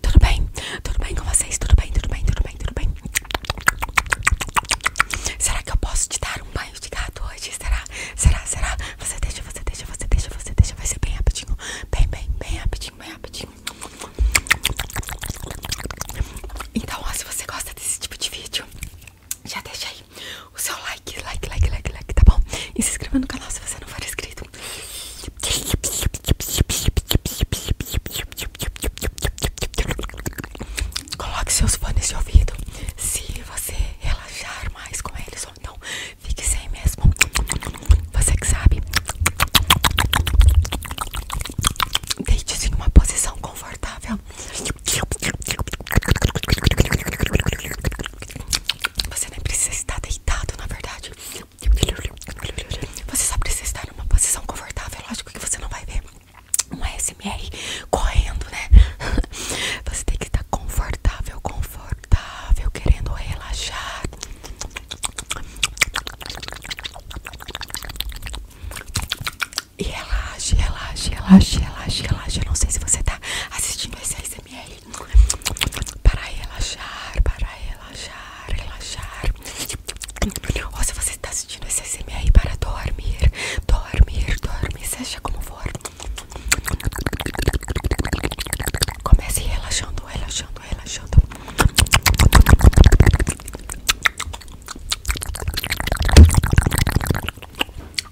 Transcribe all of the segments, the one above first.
Tudo bem? Tudo bem com vocês? Tudo bem? Tudo bem? Tudo bem? Tudo bem? Será que eu posso te dar um banho de gato hoje? Será? Será? Será? Você deixa, você deixa, você deixa, você deixa. Vai ser bem rapidinho. Bem, bem, bem rapidinho, bem rapidinho. Então, se você gosta desse tipo de vídeo, já deixa aí o seu like, like, like, like, like, tá bom? E se inscreva no canal se você não for inscrito. Coloque seus fones de ouvido se você relaxar mais com eles ou não. Fique sem mesmo. Você que sabe. Deite-se em uma posição confortável. Você nem precisa estar deitado, na verdade. Você só precisa estar numa posição confortável. É lógico que você não vai ver um SMR correndo, né? Você tem que estar confortável, confortável, querendo relaxar. E relaxe, relaxe, relaxe, relaxe, relaxe. Eu não sei se você está assistindo esse para relaxar, para relaxar, relaxar. Ou se você está assistindo esse ASMR para dormir, dormir, dormir, seja como for. Comece relaxando, relaxando, relaxando.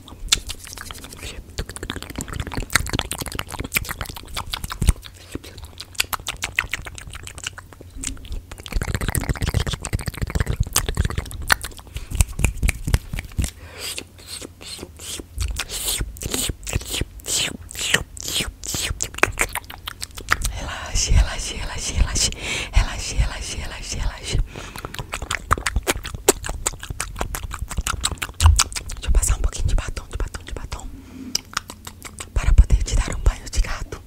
Relaxe, relaxe, relaxe, relaxe, relaxe, relaxe, relaxe, relaxe. Deixa eu passar um pouquinho de batom, de batom, de batom Para poder te dar um banho de gato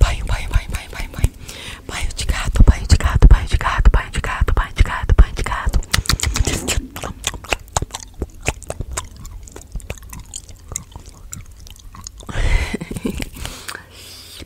Banho, banho, banho, banho, banho, banho. Banho de gato, banho de gato, banho de gato, banho de gato, banho de gato, banho de gato.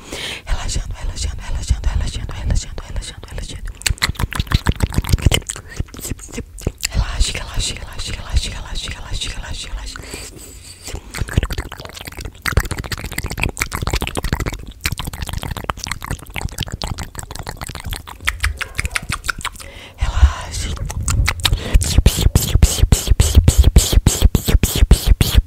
relaxando, relaxando, relaxando, relaxando, relaxando, relaxando, relaxando. Relaxa, relaxa, relaxa, relaxa, relaxa, relaxa, relaxa, relaxa. Relaxa.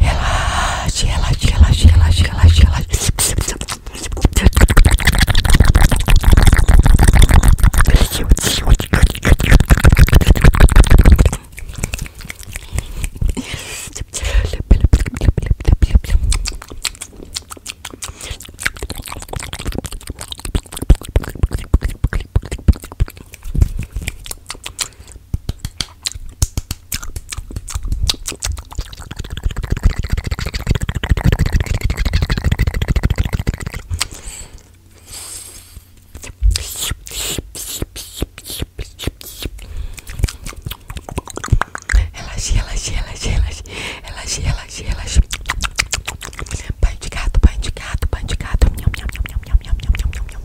Relaxe, relaxe, relaxe, relaxe, relaxe, relaxe. Relaxe, relaxe, relaxe, relaxe, relaxe, relaxe, relaxe. Banho de gato, banho de gato, banho de gato. Miam, miam, miam, miam, miam, miam, miam, miam.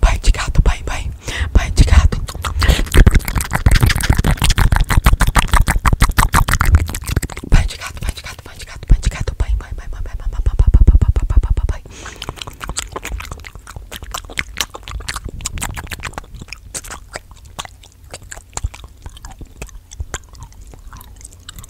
Pai de gato, pai, pai, pai de gato. Pai de gato, pai de gato, pai de gato, pai de gato, pai, pai, pai, pai, pai, pai, pai, pai, pai, pai, pai, pai, pai, pai.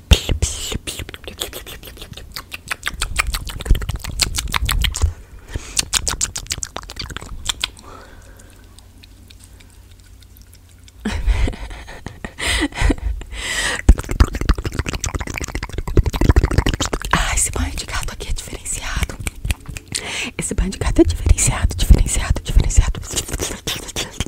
ah, esse banho de gato aqui é diferenciado. Esse banho de gato é diferenciado, diferenciado, diferenciado.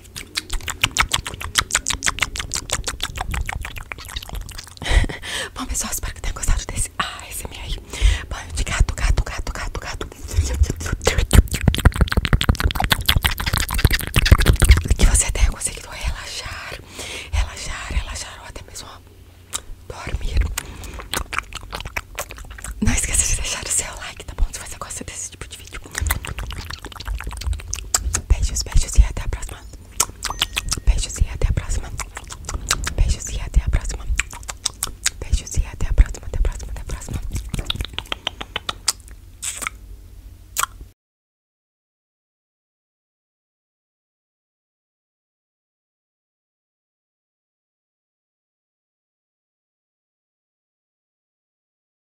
Bom, pessoal, espero que tenham gostado desse ASMR Banho de gato, gato, gato, gato, gato Que você tenha conseguido relaxar Relaxar, relaxar Ou até mesmo dormir Não esqueça de deixar o seu like, tá bom? Se você gosta desse tipo de de vídeo. Beijos, beijos e até a próxima. Beijos e até a próxima. Beijos e até a próxima. Beijos e até a próxima, até a próxima, até a próxima.